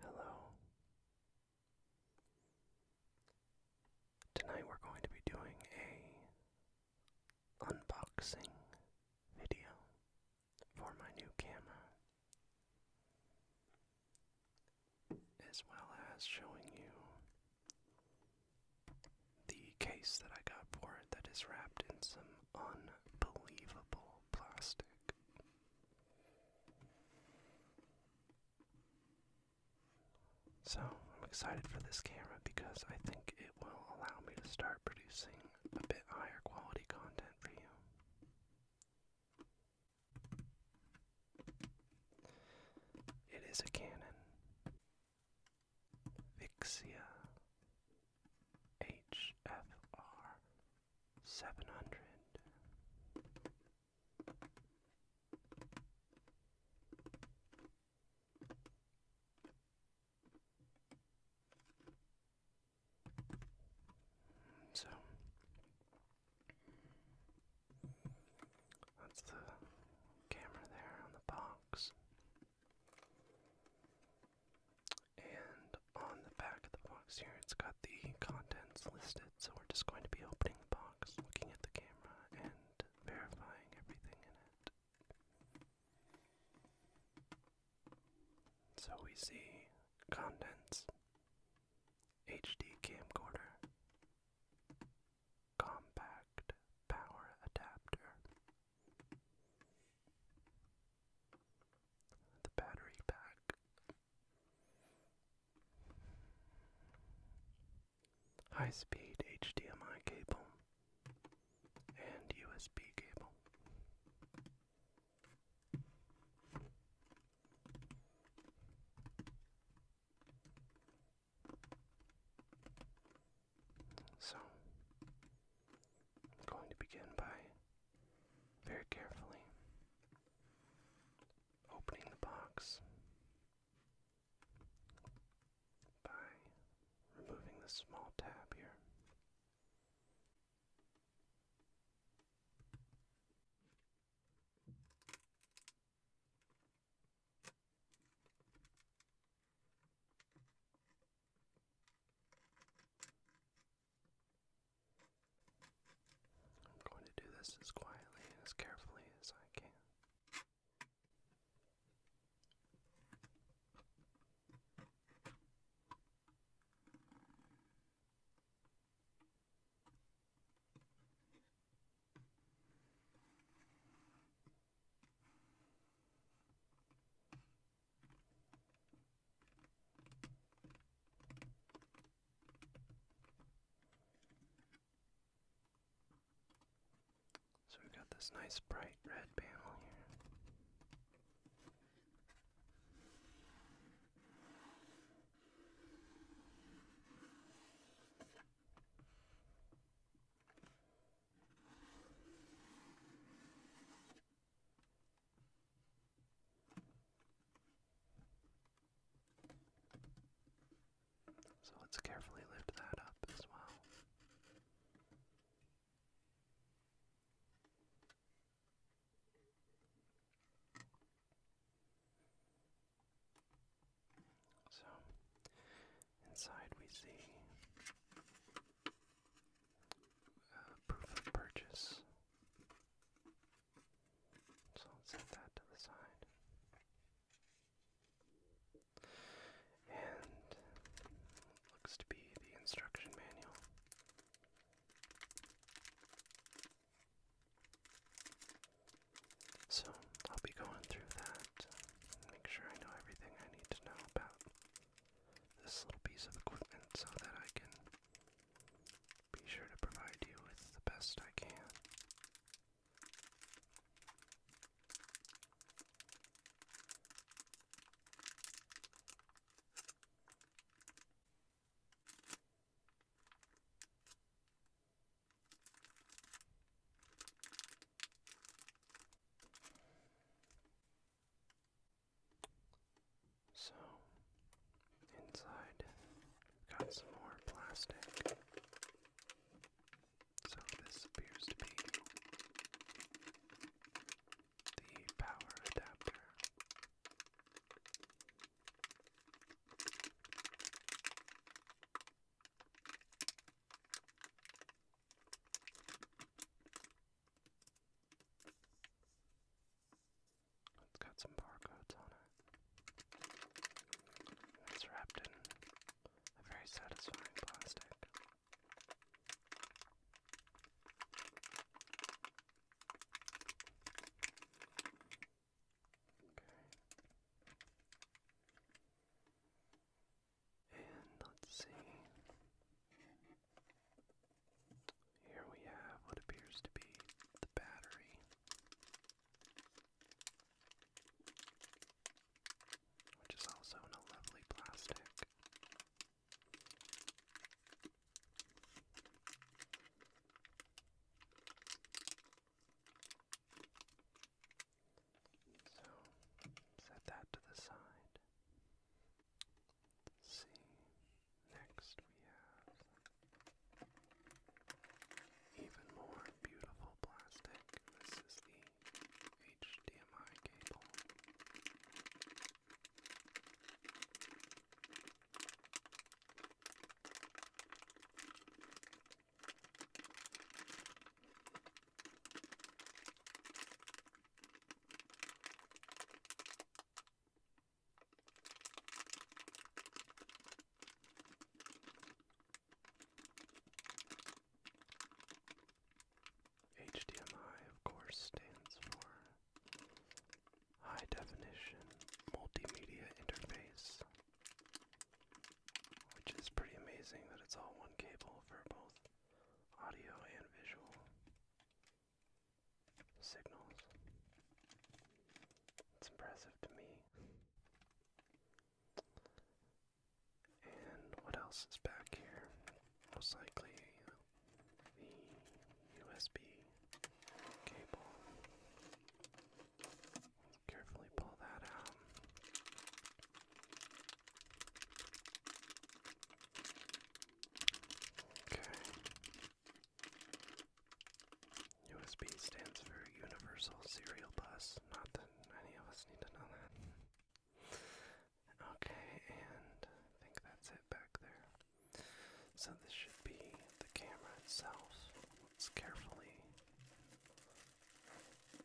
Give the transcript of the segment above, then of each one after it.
Hello. Tonight we're going to be doing a unboxing video for my new camera as well as showing you the case that I got for it that is wrapped in some unbelievable plastic. So, I'm excited for this camera because I think it will allow me to start producing a bit higher quality content for you. It is a Canon. Vixia HFR 700. So that's the camera there on the box. And on the back of the box here, it's got the contents listed, so we're just going to be opening the box, looking at the camera, and verifying everything in it. So we see contents, HD camcorder, compact power adapter. The battery pack. High speed HDMI cable and USB cable. So, I'm going to begin by very carefully opening the box by removing this small tab here. I'm going to do this as quietly and as carefully as I can. So we've got this nice bright red panel here. So let's carefully lift that up as well. So, inside we see uh, proof of purchase. So, let's set that to the side. And looks to be the instruction manual. So I'll be going through that and make sure I know everything I need to know about this little piece of equipment so that I can be sure to provide you with the best I can. So, inside, got some more plastic. So, this appears to be the power adapter it's got some barcodes on it. And it's wrapped in a very satisfying plastic. Okay. And let's see. Here we have what appears to be the battery, which is also in a lovely plastic. So set that to the side. see, next we have even more beautiful plastic. This is the HDMI cable. HDMI, of course, stands for high definition multimedia interface, which is pretty amazing that it's all one cable for both audio and visual signals. It's impressive to me. And what else is back here? Most likely the USB cable. Let's carefully pull that out. Okay. USB stands for Universal Serial Bus. Not that any of us need to know that. Okay, and I think that's it back there. So this should be the camera itself. Let's carefully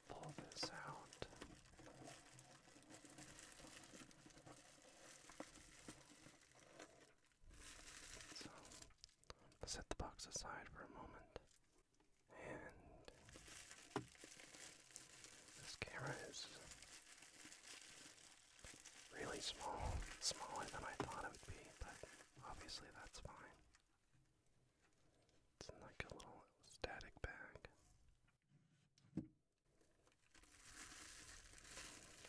pull this out. So set the box aside for a moment. And this camera is really small, smaller than I thought it would be, but obviously that's fine. It's in like a little static bag.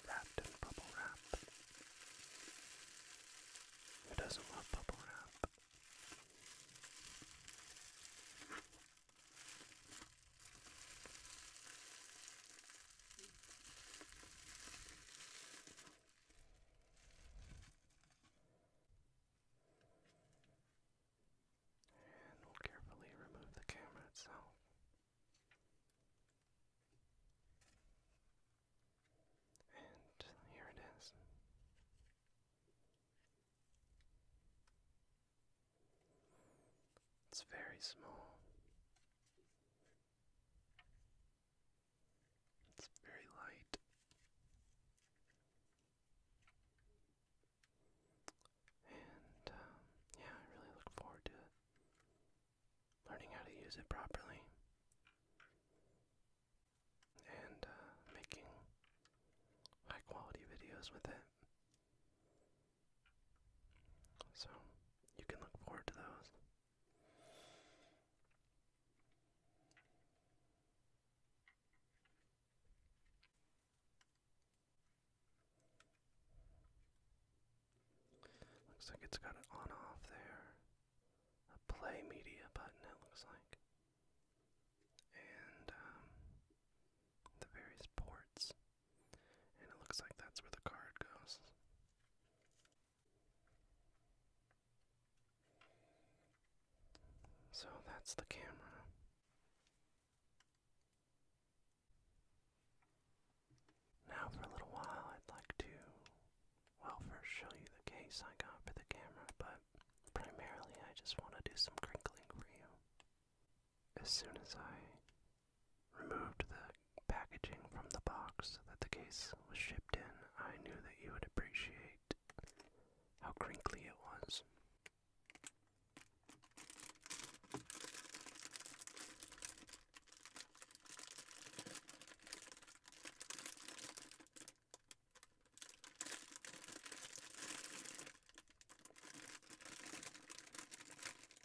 Wrapped in bubble wrap. Who doesn't love bubble wrap? And we'll carefully remove the camera itself. And here it is. It's very small. It's very light. And um, yeah, I really look forward to learning how to use it properly and uh, making high quality videos with it. So you can look forward to those. Looks like it's got an on off there. A play media button, it looks like. And um, the various ports. And it looks like that's where the card goes. So that's the camera. Now, for a little while, I'd like to, well, first show you the case I got for the camera, but primarily I just want to do some crinkling for you. As soon as I removed the packaging from the box that the case was shipped in, I knew that you would appreciate how crinkly it was.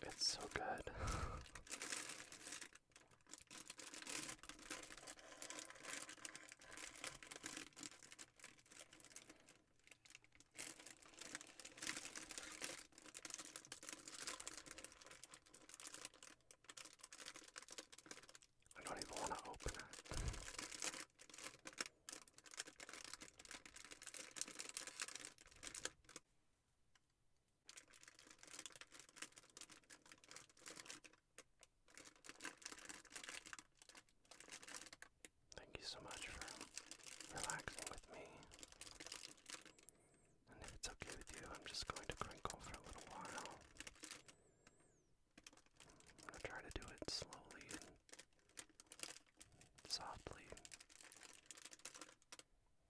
It's so good. I don't even want to open it. Thank you so much for relaxing with me. And if it's okay with you, I'm just going to crinkle for a little while. I'm going to try to do it slowly and softly.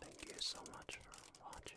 Thank you so much for watching.